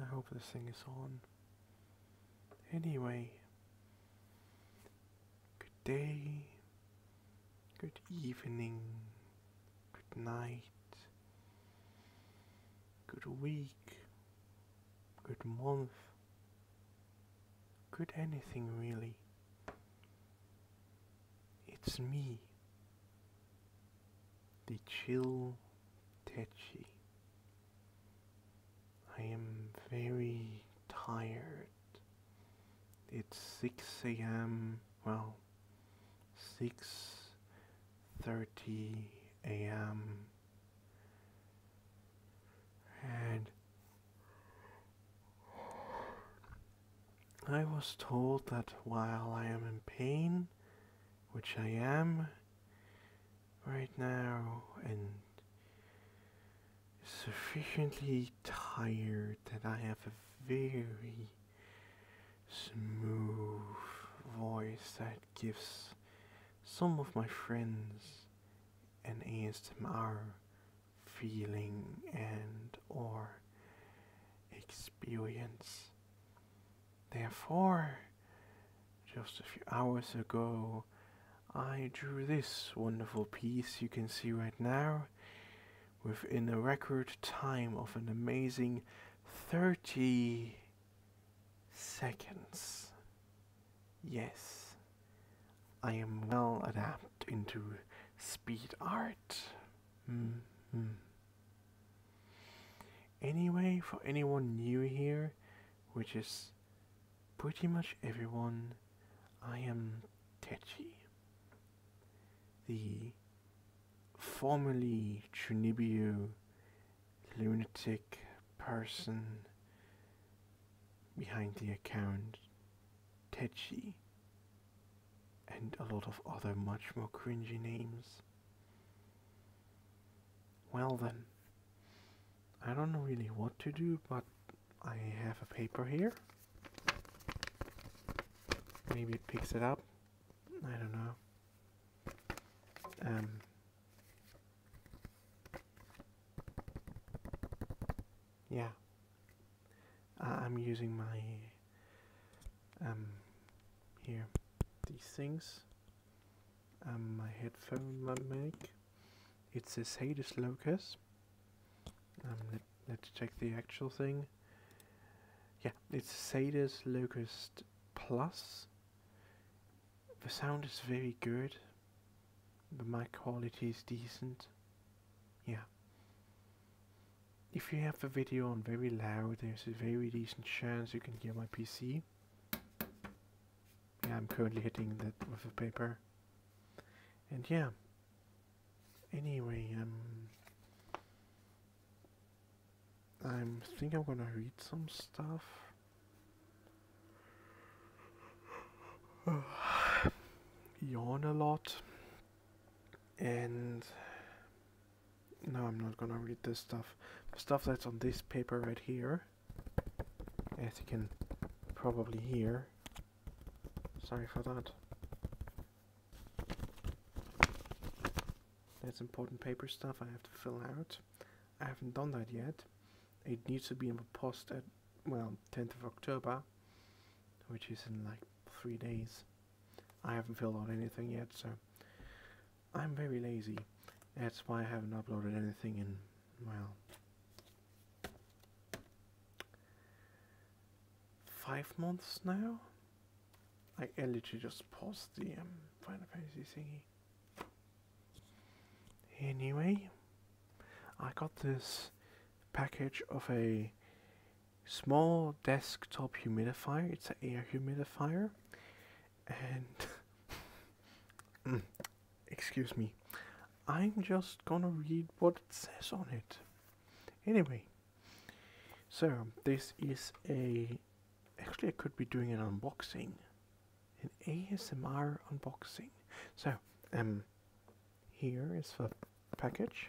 I hope the thing is on. Anyway, good day, good evening, good night, good week, good month. Could anything really? It's me, the chill Tetchy. I am very tired. It's 6 a.m. Well, 6.30 a.m. And I was told that while I am in pain, which I am right now, and sufficiently tired that I have a very smooth voice that gives some of my friends an ASMR feeling and or experience. Therefore, just a few hours ago, I drew this wonderful piece you can see right now within a record time of an amazing 30 seconds. Yes, I am well adapted into speed art. -hmm. Anyway, for anyone new here, which is pretty much everyone, I am Techi, the formerly Chunibyo lunatic person behind the account Tetchy and a lot of other much more cringy names. Well then, I don't know really what to do, but I have a paper here. Maybe it picks it up. I don't know. Um, yeah, uh, I'm using my, um, here, these things, um, my headphone my mic, it says Sadas Locus, um, let, us check the actual thing, yeah, it's Sadas Locust Plus, the sound is very good, but my quality is decent yeah if you have the video on very loud there's a very decent chance you can hear my PC yeah I'm currently hitting that with a paper and yeah anyway um I am think I'm gonna read some stuff yawn a lot and no I'm not gonna read this stuff the stuff that's on this paper right here as you can probably hear sorry for that that's important paper stuff I have to fill out I haven't done that yet. It needs to be in the post at, well, 10th of October, which is in like three days. I haven't filled out anything yet, so I'm very lazy. That's why I haven't uploaded anything in, well, five months now. I literally just paused the um, Final Fantasy thingy. Anyway, I got this package of a small desktop humidifier. It's an air humidifier. And, mm, excuse me, I'm just gonna read what it says on it. Anyway, so this is a, actually I could be doing an unboxing an ASMR unboxing. So, um, here is the package.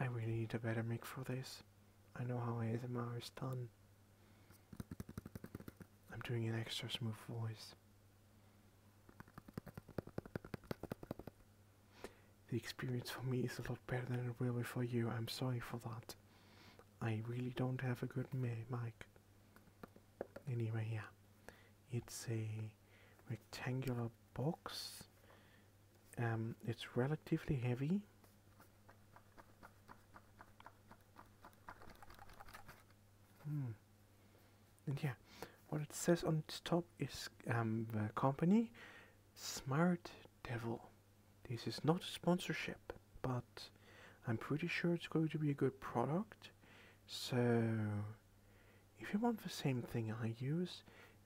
I really need a better mic for this. I know how ASMR is done. I'm doing an extra smooth voice. The experience for me is a lot better than it will be for you. I'm sorry for that. I really don't have a good mic. Anyway, yeah. It's a rectangular box. Um, it's relatively heavy. Hmm. And yeah, what it says on the top is um, company Smart devil. This is not a sponsorship, but I'm pretty sure it's going to be a good product. So, if you want the same thing I use,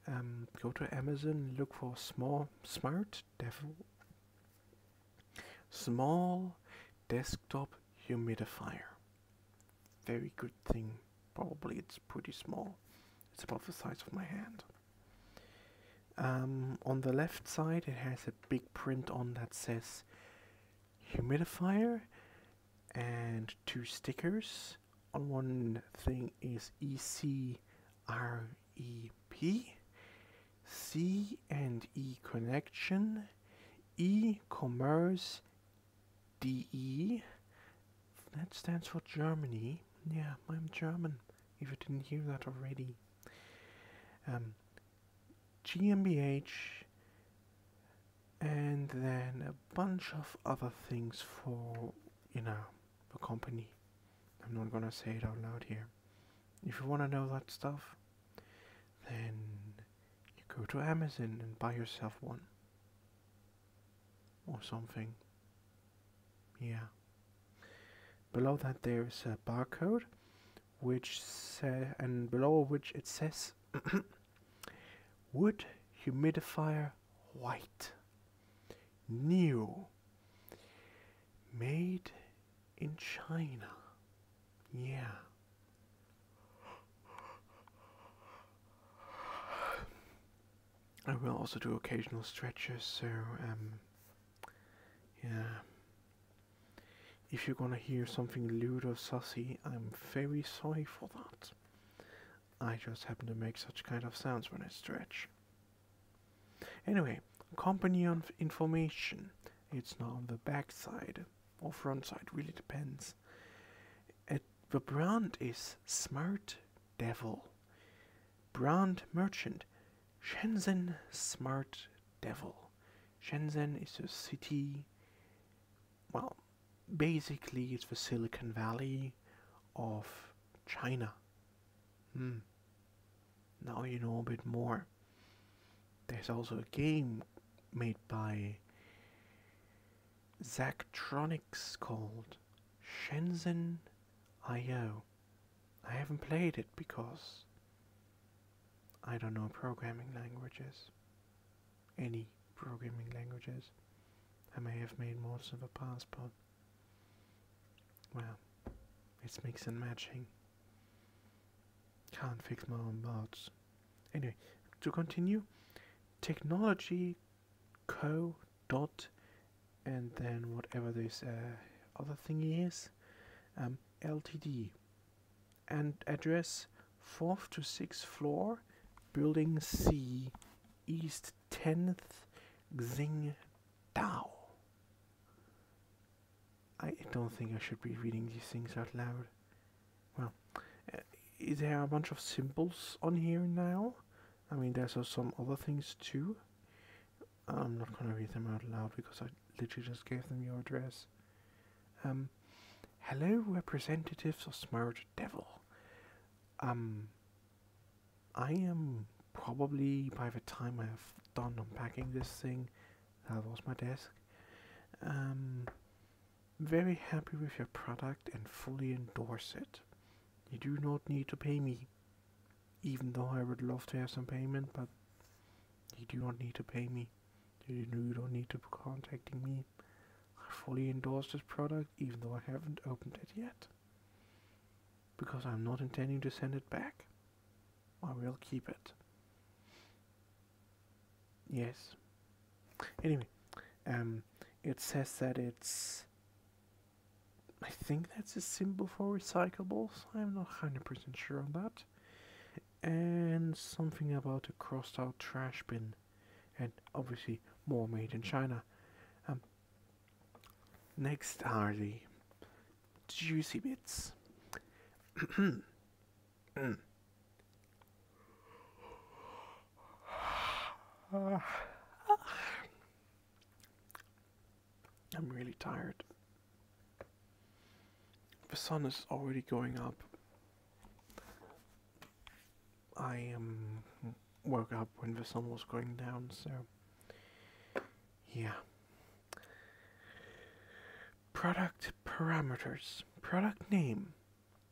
um, go to Amazon, look for small, smart devil, small desktop humidifier. Very good thing. Probably it's pretty small. It's about the size of my hand. Um, on the left side it has a big print on that says humidifier and two stickers. On one thing is E C R E P C and E connection, E commerce DE, that stands for Germany, yeah, I'm German, if you didn't hear that already. Um, GmbH, and then a bunch of other things for, you know, a company. I'm not gonna say it out loud here. If you wanna know that stuff, then you go to Amazon and buy yourself one. Or something. Yeah. Below that there is a barcode, which say, and below which it says wood humidifier white, new, made in China. Yeah. I will also do occasional stretches, so um, yeah. If you're gonna hear something lewd or sussy, I'm very sorry for that. I just happen to make such kind of sounds when I stretch. Anyway, company information. It's not on the back side or front side, really depends. the brand is Smart Devil brand merchant, Shenzhen Smart Devil. Shenzhen is a city, well, basically it's the Silicon Valley of China. Hmm. Now you know a bit more. There's also a game made by Zachtronics called Shenzhen IO. I haven't played it because I don't know programming languages. Any programming languages. I may have made more of a passport. Well, it's mix and matching. Can't fix my own bugs. Anyway, to continue, technology co dot and then whatever this uh, other thing is um, ltd and address fourth to sixth floor building c east 10th xing dao i don't think i should be reading these things out loud well uh, there are a bunch of symbols on here now I mean, there's some other things too. I'm not gonna read them out loud because I literally just gave them your address. Um, hello, representatives of Smart Devil. Um, I am probably by the time I have done unpacking this thing, that was my desk. Um, very happy with your product and fully endorse it. You do not need to pay me, even though I would love to have some payment, but you do not need to pay me. You don't need to be contacting me. I fully endorse this product, even though I haven't opened it yet. Because I'm not intending to send it back. I will keep it. Yes. Anyway, um, it says that it's I think that's a symbol for recyclables. I'm not 100% sure on that. And something about a crossed out trash bin. And obviously, more made in China. Um, next are the juicy bits. mm. I'm really tired. The sun is already going up. I um, woke up when the sun was going down, so yeah. Product parameters. Product name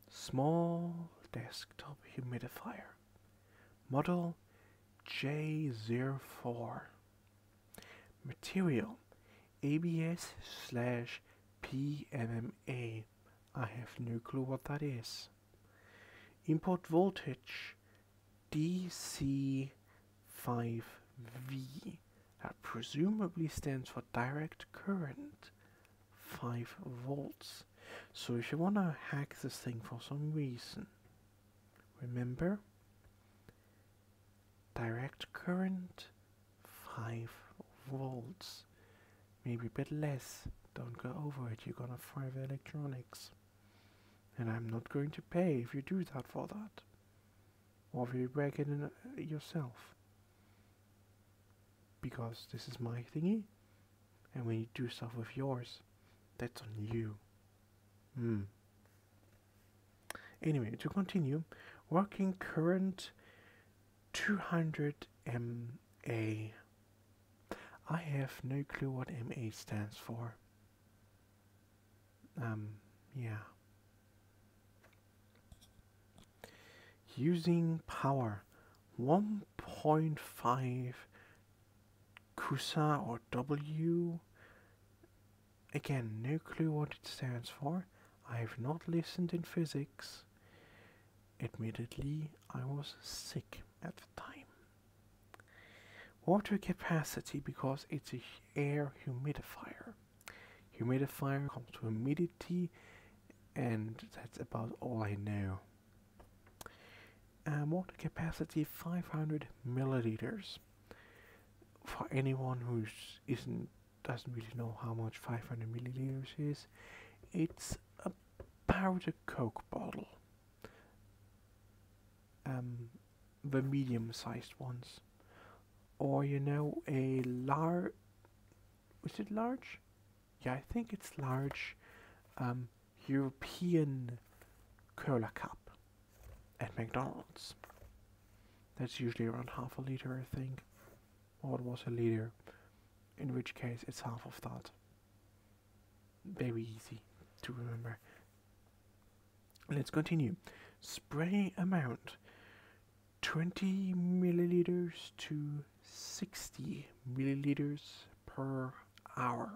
small desktop humidifier model J04 material ABS slash PMMA I have no clue what that is Input voltage DC 5V that presumably stands for direct current 5 volts. So if you want to hack this thing for some reason, remember direct current 5 volts, maybe a bit less. Don't go over it, you're gonna fry electronics. And I'm not going to pay if you do that for that. Or if you break it uh, yourself. Because this is my thingy, and when you do stuff with yours, that's on you. Hmm. Anyway, to continue, working current 200 MA. I have no clue what MA stands for. Um, yeah. Using power. 1.5 kusa or w again no clue what it stands for i have not listened in physics admittedly i was sick at the time water capacity because it's a air humidifier humidifier comes to humidity and that's about all i know uh, water capacity 500 milliliters. For anyone who isn't doesn't really know how much 500 milliliters is, it's about a Coke bottle. Um, the medium-sized ones, or you know, a lar was it large? Yeah, I think it's large um, European cola cup at McDonald's. That's usually around half a liter, I think. Or was a liter. In which case, it's half of that. Very easy to remember. Let's continue. Spray amount 20 milliliters to 60 milliliters per hour.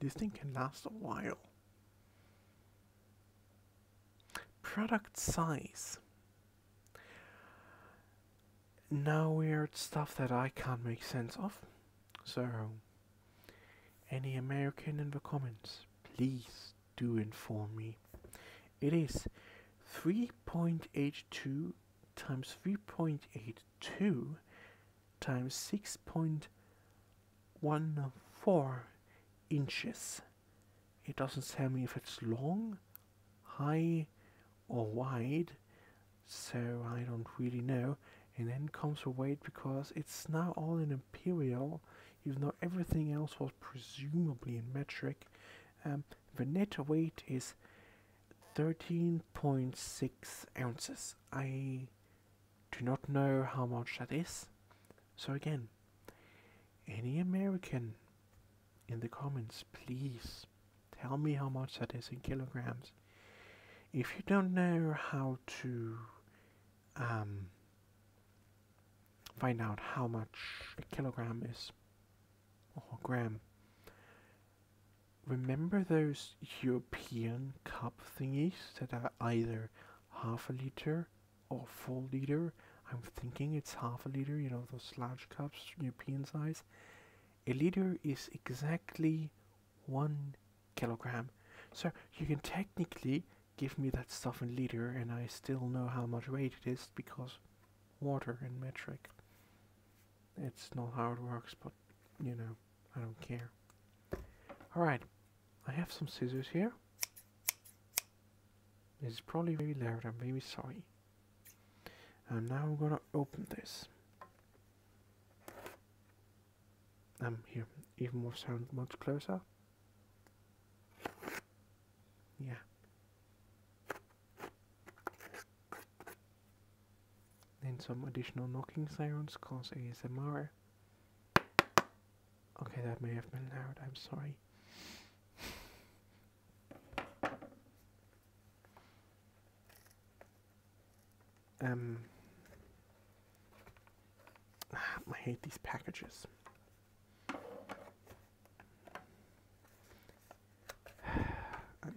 This thing can last a while. Product size. Now weird stuff that I can't make sense of. So, any American in the comments, please do inform me. It is 3.82 times 3.82 times 6.14 inches. It doesn't tell me if it's long, high or wide, so I don't really know. And then comes the weight because it's now all in imperial, even though everything else was presumably in metric. Um, the net weight is 13.6 ounces. I do not know how much that is. So, again, any American in the comments, please tell me how much that is in kilograms. If you don't know how to um, find out how much a kilogram is, Oh, Graham. Remember those European cup thingies that are either half a liter or full liter? I'm thinking it's half a liter, you know, those large cups, European size. A liter is exactly one kilogram. So you can technically give me that stuff in liter and I still know how much weight it is because water in metric. It's not how it works, but you know, I don't care. Alright, I have some scissors here. This is probably very loud, I'm very sorry. And now I'm gonna open this. Um, here, even more sound, much closer. Yeah. Then some additional knocking sounds cause ASMR. Okay, that may have been loud, I'm sorry. Um, I hate these packages. I'm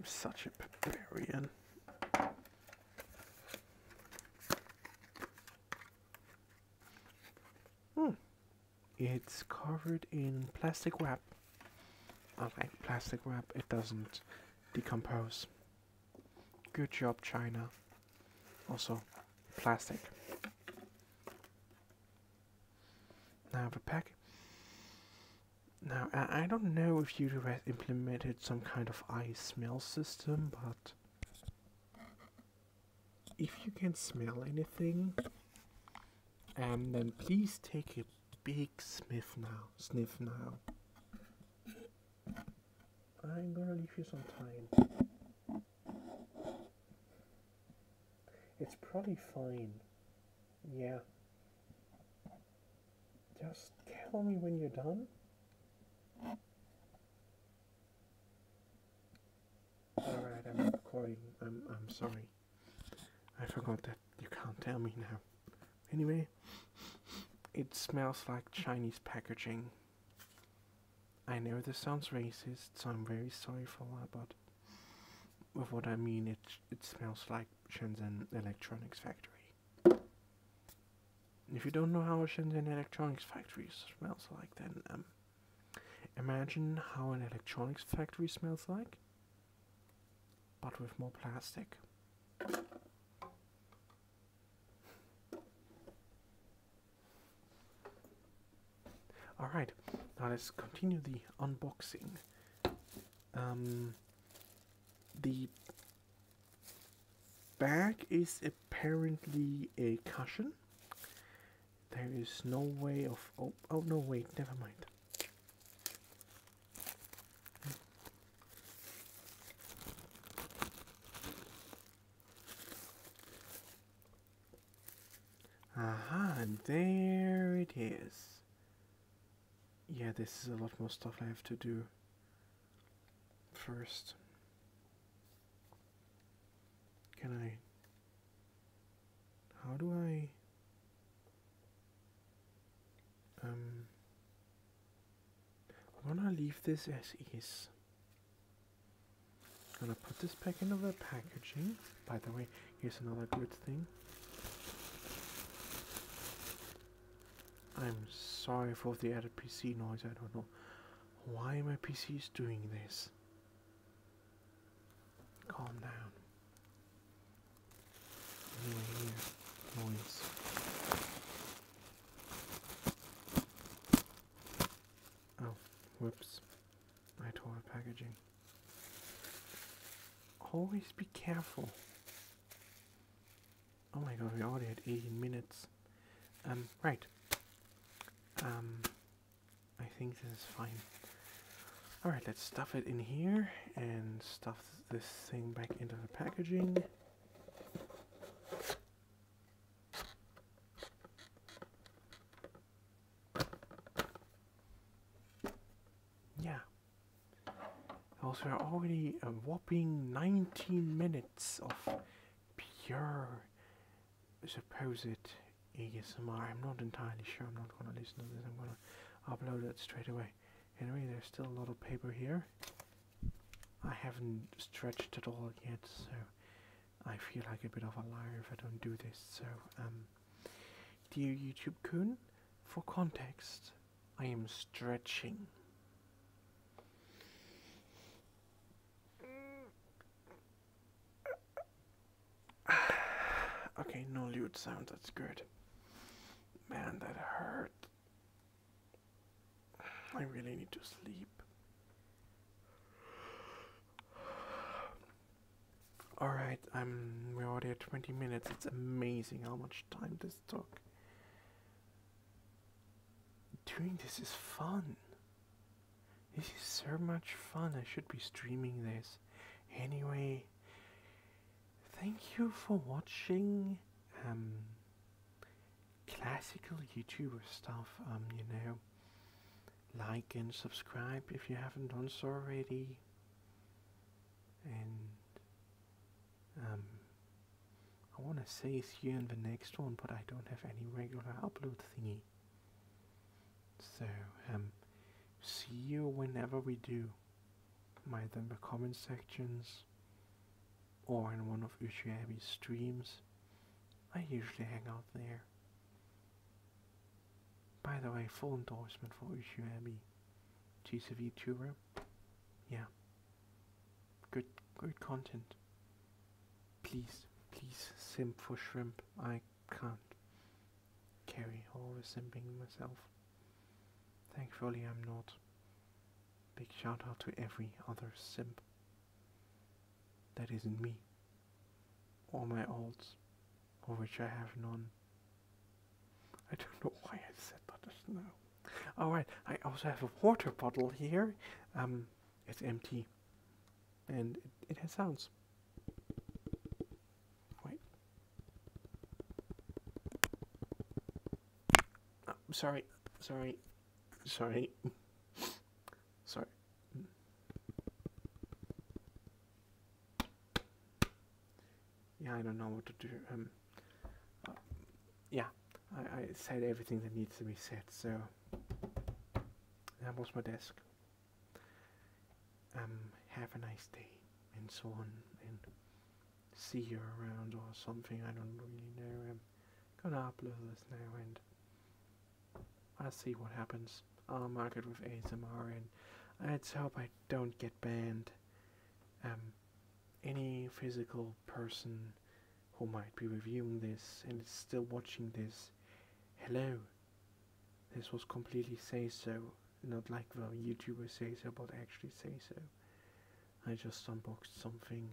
such a barbarian. Hmm. It's covered in plastic wrap. I like plastic wrap, it doesn't decompose. Good job, China. Also, plastic. Now the pack. Now I, don't know if you have implemented some kind of eye smell system, but if you can smell anything, and then please take a big sniff now. Sniff now. I'm gonna leave you some time. It's probably fine. Yeah. Just tell me when you're done. Alright, I'm recording. I'm, I'm sorry. I forgot that you can't tell me now. Anyway, it smells like Chinese packaging. I know this sounds racist, so I'm very sorry for that, but with what I mean, it it smells like Shenzhen Electronics Factory. If you don't know how a Shenzhen Electronics Factory smells like, then um, imagine how an electronics factory smells like, but with more plastic. All right, now let's continue the unboxing. Um, the bag is apparently a cushion. There is no way of oh oh no wait never mind. Ah, and there it is. Yeah, this is a lot more stuff I have to do first. Can I... How do I... Um, I want to leave this as is. I'm gonna put this back into the packaging. By the way, here's another good thing. I'm sorry for the added PC noise, I don't know why my PC is doing this. Calm down. Anyway, here, noise. Oh, whoops my toilet packaging. Always be careful. Oh my god, we already had 18 minutes. Um, right. Um, I think this is fine. Alright, let's stuff it in here and stuff this thing back into the packaging. Yeah. Also, we already a whopping 19 minutes of pure supposed ASMR. I'm not entirely sure. I'm not going to listen to this. I'm going to upload it straight away. Anyway, there's still a lot of paper here. I haven't stretched it all yet, so I feel like a bit of a liar if I don't do this. So, um, dear YouTube coon, for context, I am stretching. okay, no lewd sound. That's good. Man, that hurt. I really need to sleep. Alright, I'm we're already at 20 minutes. It's amazing how much time this took. Doing this is fun. This is so much fun. I should be streaming this. Anyway, thank you for watching um, classical YouTuber stuff, um, you know like and subscribe if you haven't done so already and um, I want to say see you in the next one but I don't have any regular upload thingy so um, see you whenever we do either in the comment sections or in one of Ushiabi's streams I usually hang out there by the way, full endorsement for Ushuabi GCV Tour. Yeah. Good good content. Please, please simp for shrimp. I can't carry all the simping myself. Thankfully I'm not. Big shout out to every other simp that is isn't me, or my alts, of which I have none. I don't know why I said that just now. Alright, I also have a water bottle here. Um, it's empty. And it, it has sounds. Wait. Oh, sorry, sorry, sorry. Sorry. Yeah, I don't know what to do. Um, uh, yeah, I, I said everything that needs to be said, so that was my desk. Um, have a nice day, and so on, and see you around or something, I don't really know. I'm gonna upload this now and I'll see what happens. I'll market with ASMR and I us hope I don't get banned. Um, any physical person who might be reviewing this and is still watching this, hello. This was completely say so, not like the YouTuber say so, but actually say so. I just unboxed something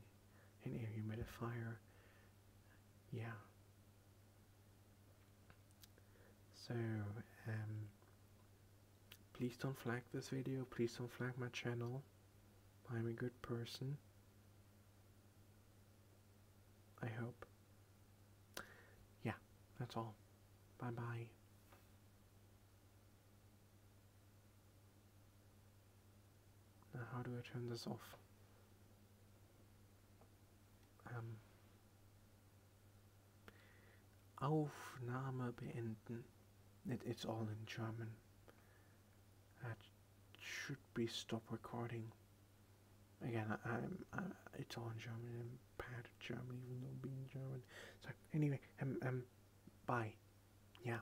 an air humidifier. Yeah. So, um, please don't flag this video, please don't flag my channel. I'm a good person. I hope. Yeah, that's all. Bye bye. Now, how do I turn this off? Um, Aufnahme beenden. it's all in German. That should be stop recording. Again, I, am it's all in German. I'm bad at German, even though being German. So anyway, um, um, bye. Yeah.